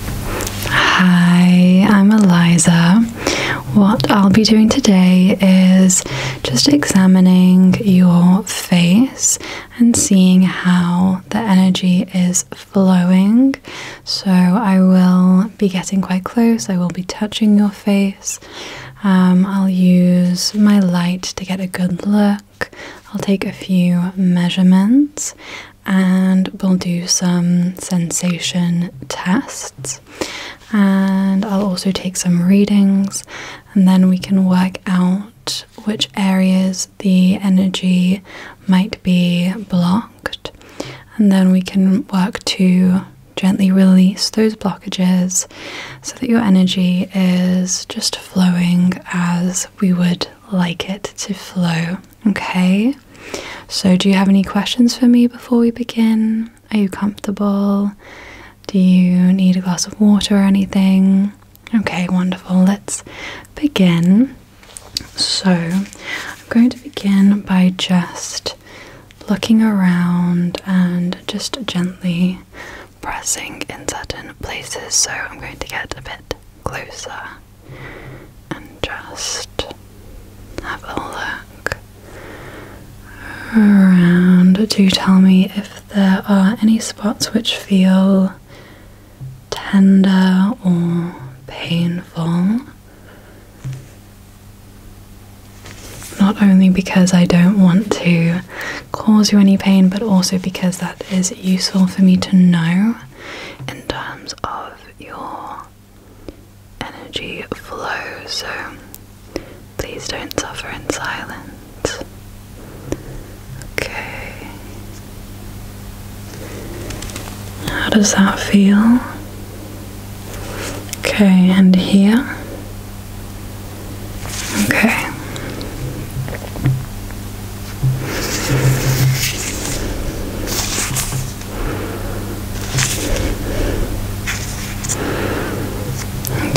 Hi, I'm Eliza. What I'll be doing today is just examining your face and seeing how the energy is flowing. So, I will be getting quite close, I will be touching your face. Um, I'll use my light to get a good look. I'll take a few measurements and we'll do some sensation tests. And I'll also take some readings, and then we can work out which areas the energy might be blocked, and then we can work to gently release those blockages so that your energy is just flowing as we would like it to flow. Okay, so do you have any questions for me before we begin? Are you comfortable? Do you need a glass of water or anything? Okay, wonderful. Let's begin. So, I'm going to begin by just looking around and just gently pressing in certain places. So, I'm going to get a bit closer and just have a look around. Do tell me if there are any spots which feel tender or painful. Not only because I don't want to cause you any pain, but also because that is useful for me to know in terms of your energy flow, so please don't suffer in silence. Okay. How does that feel? Okay, and here. Okay.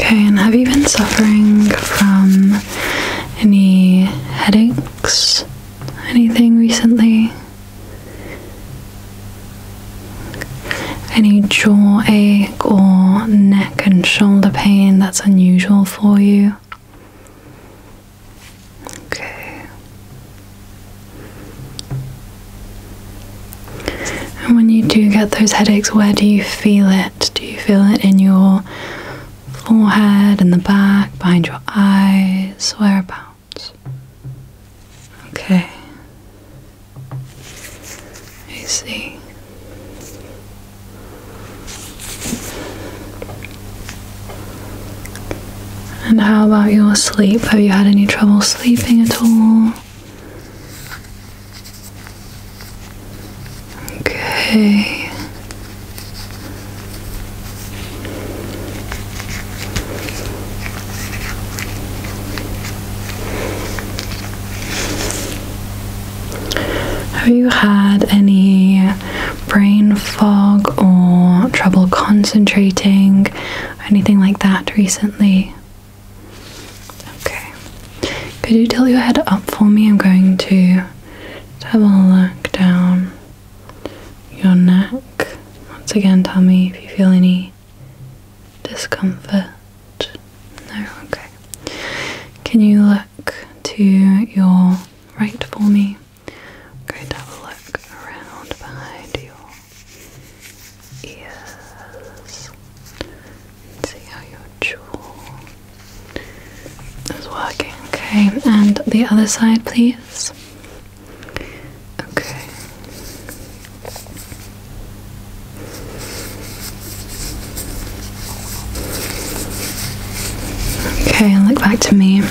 Okay, and have you been suffering from any headaches? Anything recently? Any jaw ache or neck and shoulder pain that's unusual for you? Okay. And when you do get those headaches, where do you feel it? Do you feel it in your forehead, in the back, behind your eyes? Whereabouts? Okay. I see. And how about your sleep? Have you had any trouble sleeping at all? Okay. Have you had any brain fog or trouble concentrating, anything like that recently? Okay. Could you tilt your head up for me? I'm going to have a look down your neck. Once again, tell me if you feel any discomfort. No? Okay. Can you look to your right for me? Okay. have a look around behind your ears see how your jaw is working. Okay, and the other side, please. Okay. Okay, look back to me.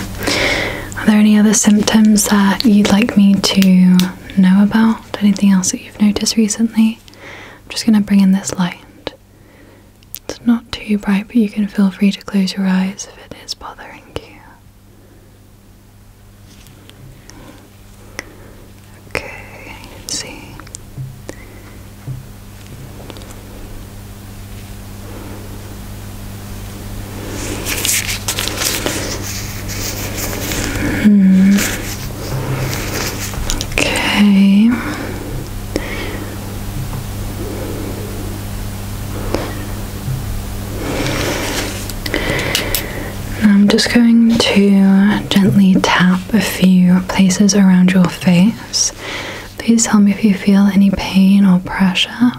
Are there any other symptoms that you'd like me to know about? Anything else that you've noticed recently? I'm just going to bring in this light. It's not too bright, but you can feel free to close your eyes if it is bothering you. Okay, see. Hmm. Okay. I'm just going to gently tap a few places around your face. Please tell me if you feel any pain or pressure.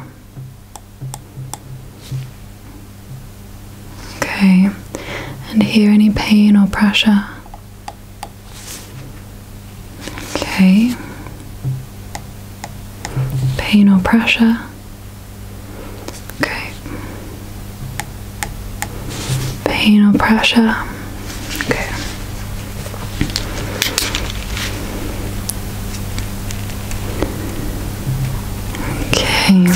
Okay, and hear any pain or pressure? Okay, pain or pressure? Okay, pain or pressure? Okay, Okay.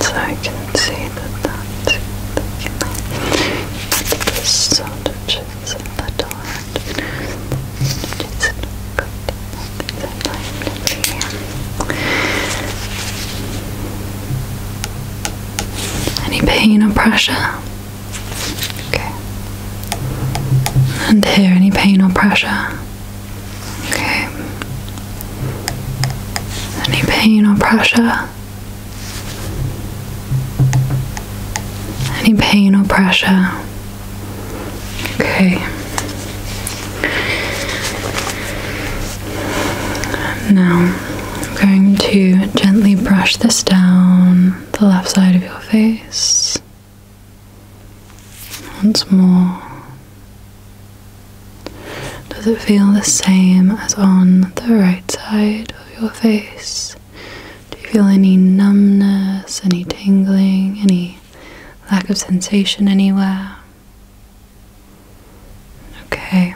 So I can see that that's this sort of a little any pain or pressure? Okay. And here, any pain or pressure? Okay. Any pain or pressure? Any pain or pressure? Okay. Now, I'm going to gently brush this down the left side of your face. Once more. Does it feel the same as on the right side of your face? Do you feel any numbness, any tingling, any lack of sensation anywhere? Okay.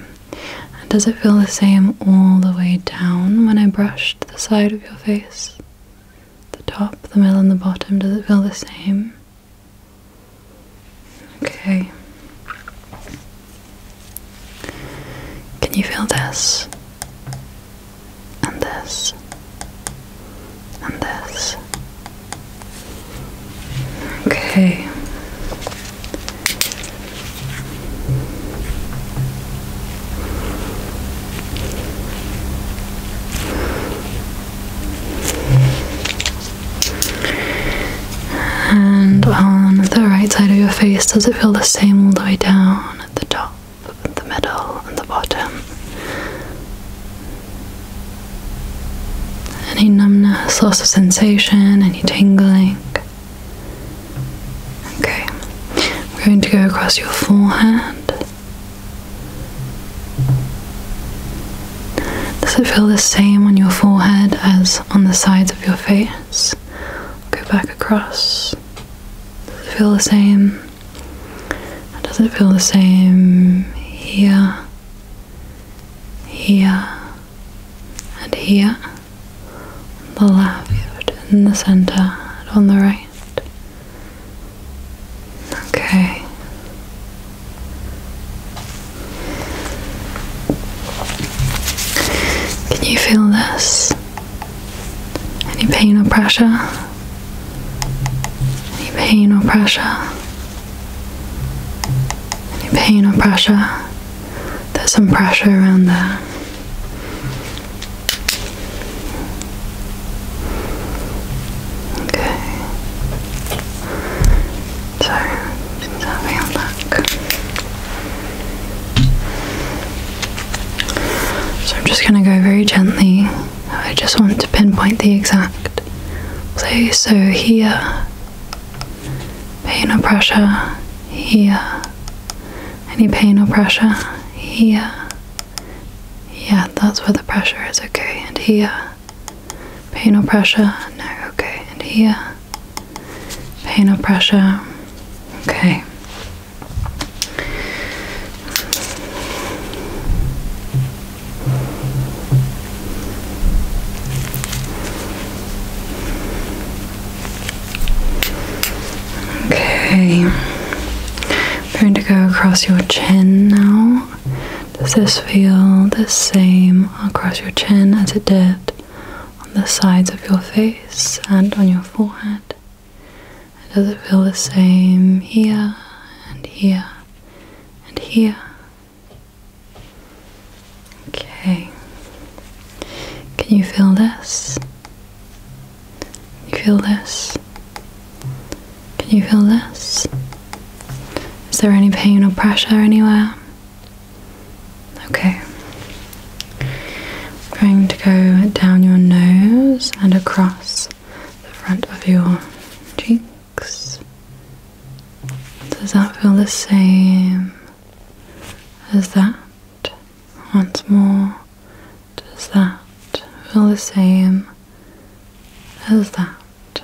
does it feel the same all the way down when I brushed the side of your face? The top, the middle, and the bottom, does it feel the same? Okay. Can you feel this? and this, and this. Okay. And on the right side of your face, does it feel the same all the way down at the top? the middle and the bottom. Any numbness, loss of sensation, any tingling. Okay, I'm going to go across your forehead. Does it feel the same on your forehead as on the sides of your face? go back across. Does it feel the same? Does it feel the same here, here, and here? the left, in the center, and on the right. Okay. Can you feel this? Any pain or pressure? Any pain or pressure? Any pain or pressure? There's some pressure around there. Okay. So, just having look. So I'm just going to go very gently. I just want to pinpoint the exact place. So here, pain or pressure, here. Any pain or pressure, here. Yeah, that's where the pressure is, okay. And here, pain or pressure, no, okay. And here, pain or pressure, okay. Okay, I'm going to go across your chin now. Does this feel the same across your chin as it did on the sides of your face and on your forehead? does it feel the same here and here and here? Okay. Can you feel this? you feel this? Can you feel this? Is there any pain or pressure anywhere? Okay going to go down your nose and across the front of your cheeks. Does that feel the same as that? Once more, does that feel the same as that?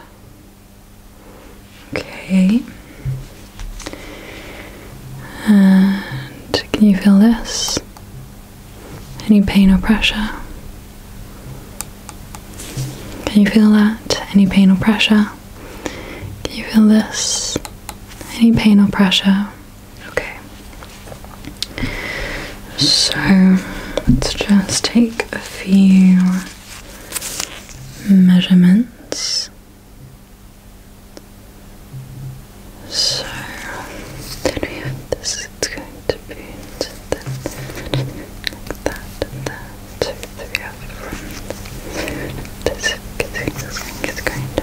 Okay. And can you feel this? Any pain or pressure? Can you feel that? Any pain or pressure? Can you feel this? Any pain or pressure? Okay. So let's just take a few measurements. So then we have this, it's going to be like that that. So this, thing is going to be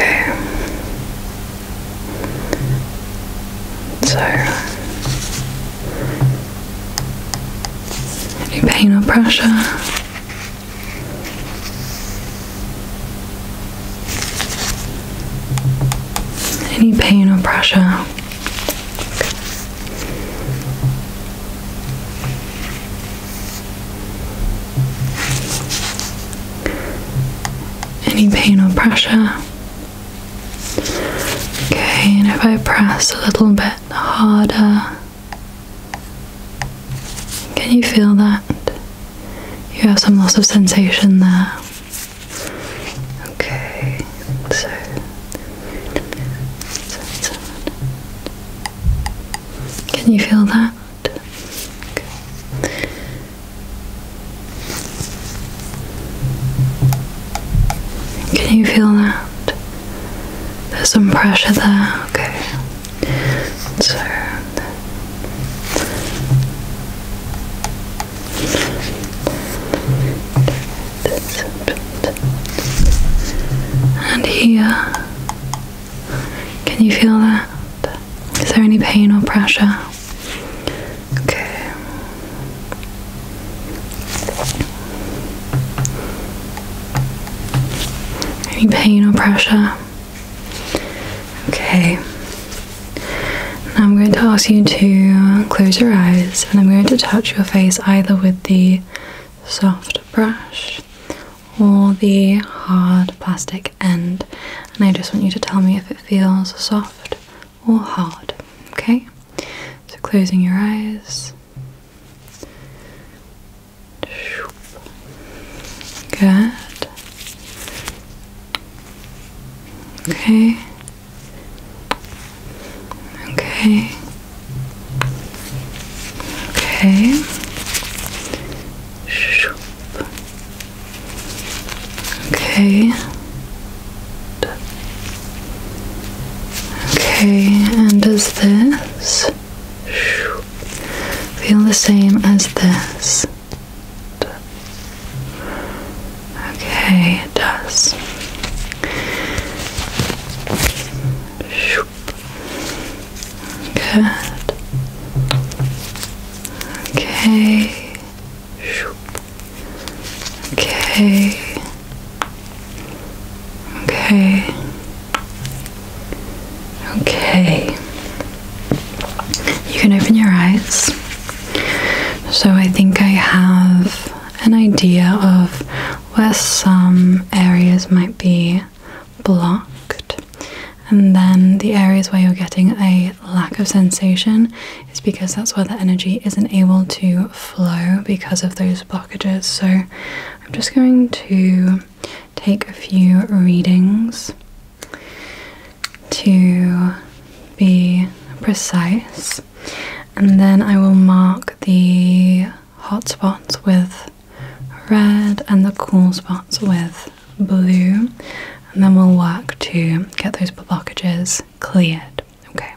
into Okay. So any pain or pressure? Any pain or pressure? Any pain or pressure? Okay, and if I press a little bit harder. Can you feel that? You have some loss of sensation there. Okay, so. Can you feel that? Can you feel that? There's some pressure there, okay. So and here, can you feel that? Is there any pain or pressure? Okay. Any pain or pressure? Okay. I'm going to ask you to close your eyes and I'm going to touch your face either with the soft brush or the hard plastic end. And I just want you to tell me if it feels soft or hard. Okay? So closing your eyes. Good. Okay. Okay. Okay. Okay. Okay, and does this feel the same as this? Okay, it does. Good. Okay. Okay. Okay. Okay. You can open your eyes. So I think I have an idea of where some areas might be blocked, and then the areas where you're getting a lack of sensation is because that's where the energy isn't able to flow because of those blockages. So I'm just going to take a few readings to be precise, and then I will mark the hot spots with red and the cool spots with blue, and then we'll work to get those blockages cleared. Okay,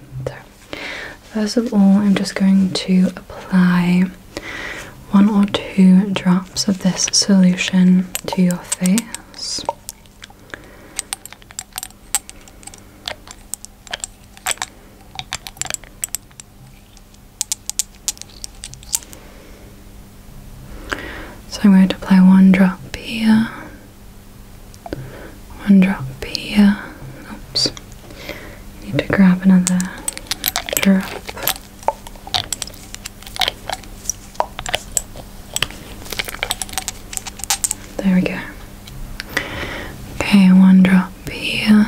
First of all, I'm just going to apply one or two drops of this solution to your face. So I'm going to apply one drop here, one drop here, oops, you need to grab another drop. There we go. Okay, one drop here,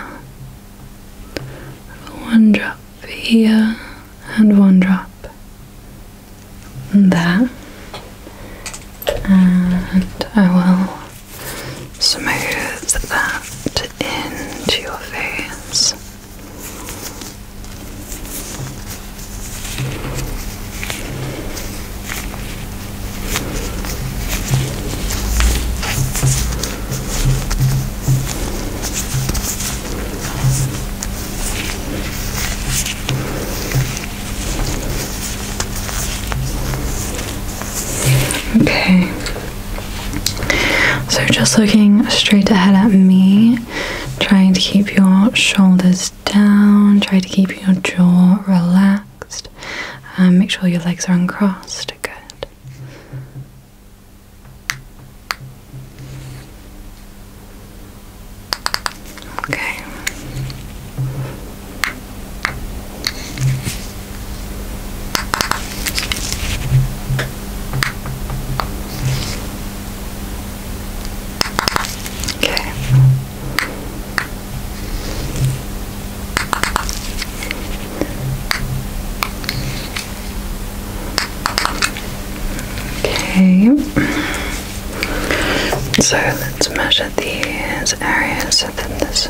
one drop here, and one drop there. And I will smooth that into your face. Okay, so, just looking straight ahead at me, trying to keep your shoulders down, try to keep your jaw relaxed, and make sure your legs are uncrossed. Good. Okay. Okay. Okay. So let's measure these areas so that this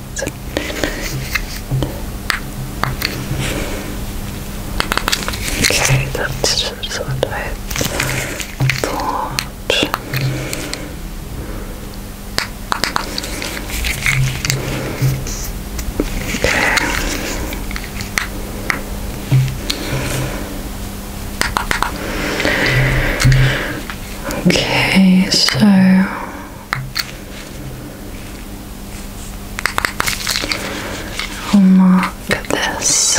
Okay, that's what I thought. Okay, so I'll mark this. And this.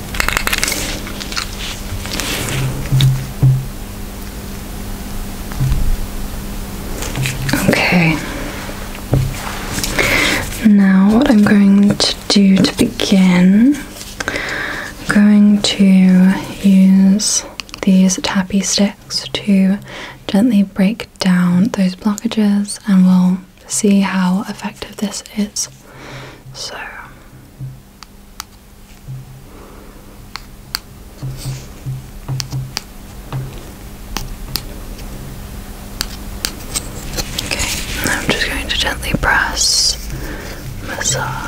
Okay. Now, what I'm going to do to begin, I'm going to use these tappy sticks to gently break down those blockages, and we'll see how effective this is. So. Okay, I'm just going to gently press, massage.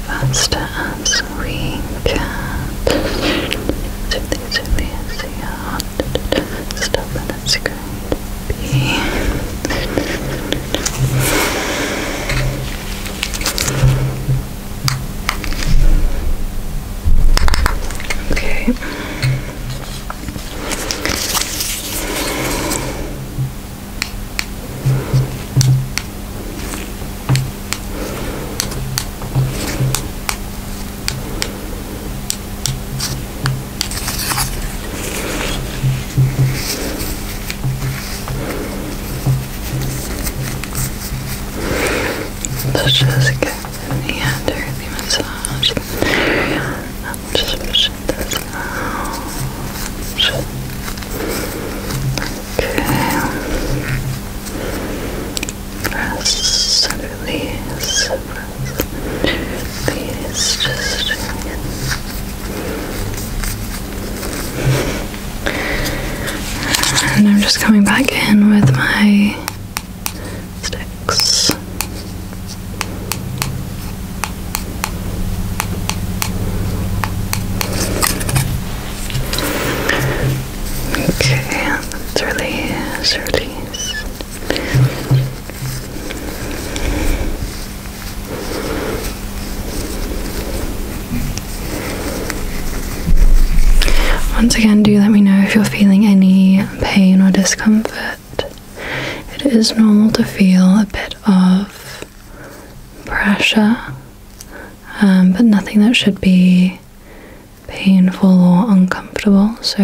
as fast as we can. So these are the stuff and it's going Okay. Let's just get the the massage area. I'm just Press release. Press and Just And I'm just coming back in with my sticks release, release. Once again, do let me know if you're feeling any pain or discomfort. It is normal to feel a bit of pressure, um, but nothing that should be painful or uncomfortable. So,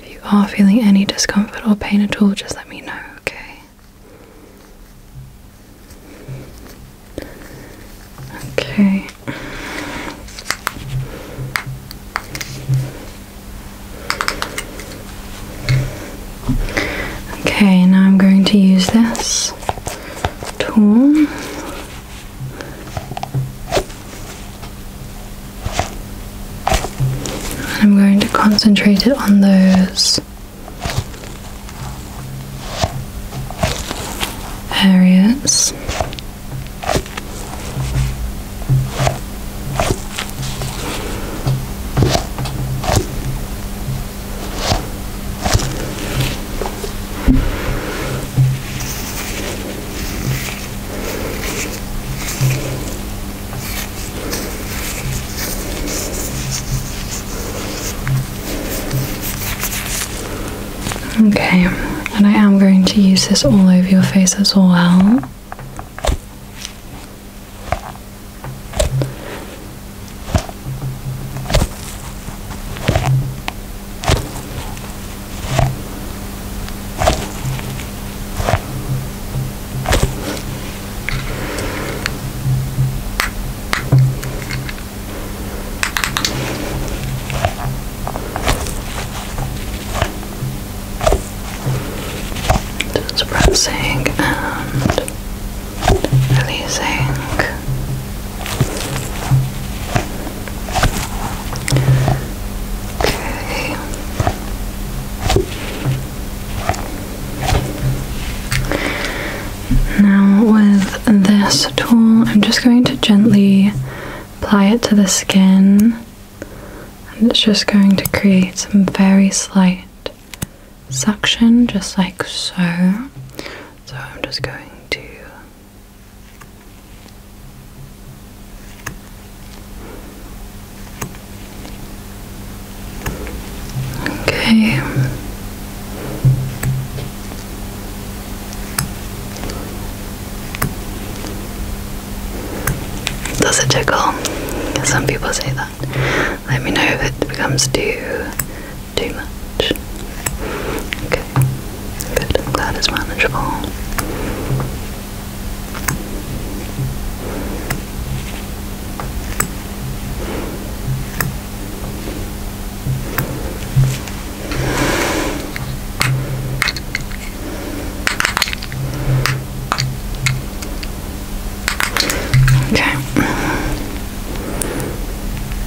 if you are feeling any discomfort or pain at all, just let me know, okay? Okay. Okay, now I'm going to use this tool. I'm going to concentrate it on those areas. Okay, and I am going to use this all over your face as well. That's pressing and releasing okay now with this tool I'm just going to gently apply it to the skin and it's just going to create some very slight suction just like so so I'm just going to Okay. Does it tickle? Some people say that. Let me know if it becomes too too much. Okay, good. glad it's manageable. Okay.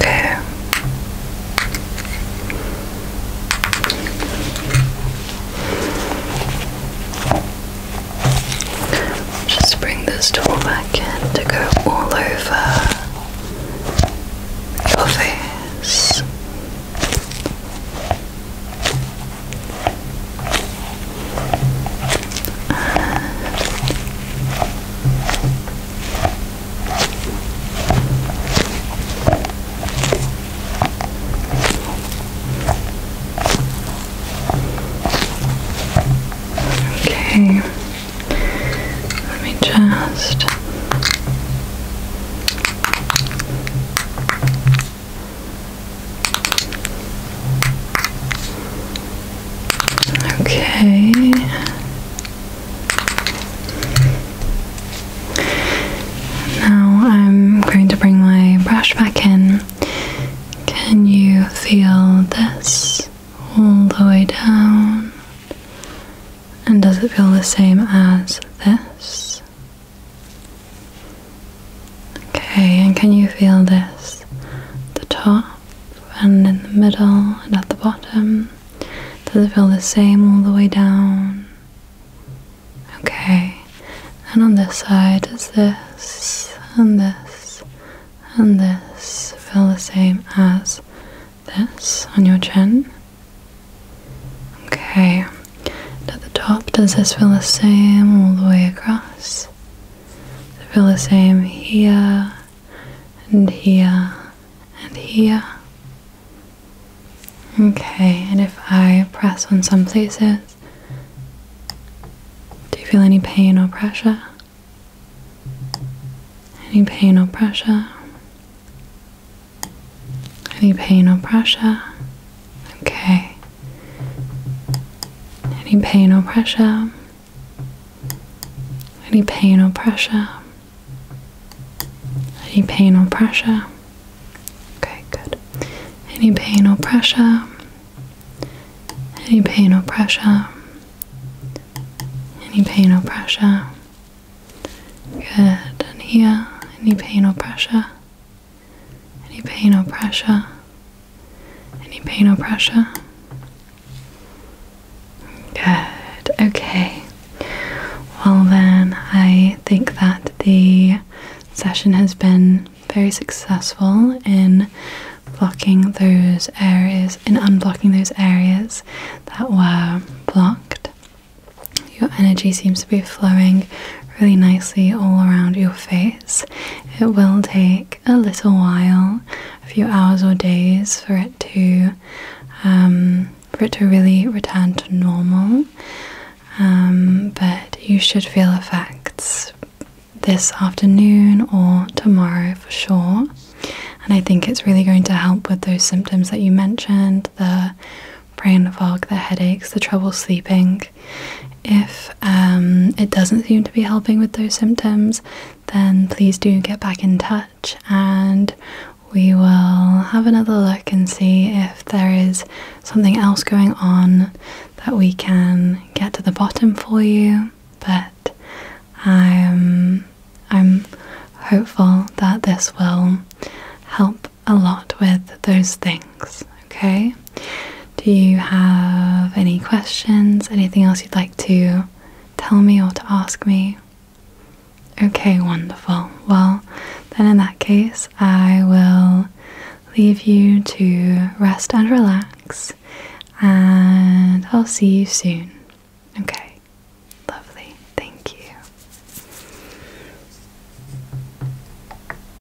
There. Just bring this tool back in to go all over your face. Okay, let me just Okay. Now I'm going to bring my brush back in. Can you feel this all the way down? And does it feel the same as this? Okay, and can you feel this? The top and in the middle and at the bottom. Does it feel the same all the way down? Okay, and on this side is this and this and this feel the same as this on your chin. Okay, at the top, does this feel the same all the way across? feel the same here, and here, and here? Okay, and if I press on some places, do you feel any pain or pressure? Any pain or pressure? Any pain or pressure? Okay. Any pain or pressure? Any pain or pressure? Any pain or pressure? Okay, good. Any pain or pressure? Any pain or pressure? Any pain or pressure? Good. And here, any pain or pressure? Any pain or pressure? Any pain or pressure? Good, okay. Well, then, I think that the session has been very successful in blocking those areas, in unblocking those areas that were blocked. Your energy seems to be flowing really nicely all around your face it will take a little while, a few hours or days, for it to um, for it to really return to normal. Um, but you should feel effects this afternoon or tomorrow for sure. And I think it's really going to help with those symptoms that you mentioned the brain fog, the headaches, the trouble sleeping. If um, it doesn't seem to be helping with those symptoms, then please do get back in touch and we will have another look and see if there is something else going on that we can get to the bottom for you. But I'm, I'm hopeful that this will help a lot with those things, okay? Do you have any questions? Anything else you'd like to tell me or to ask me? Okay, wonderful. Well, then in that case, I will leave you to rest and relax, and I'll see you soon. Okay, lovely. Thank you.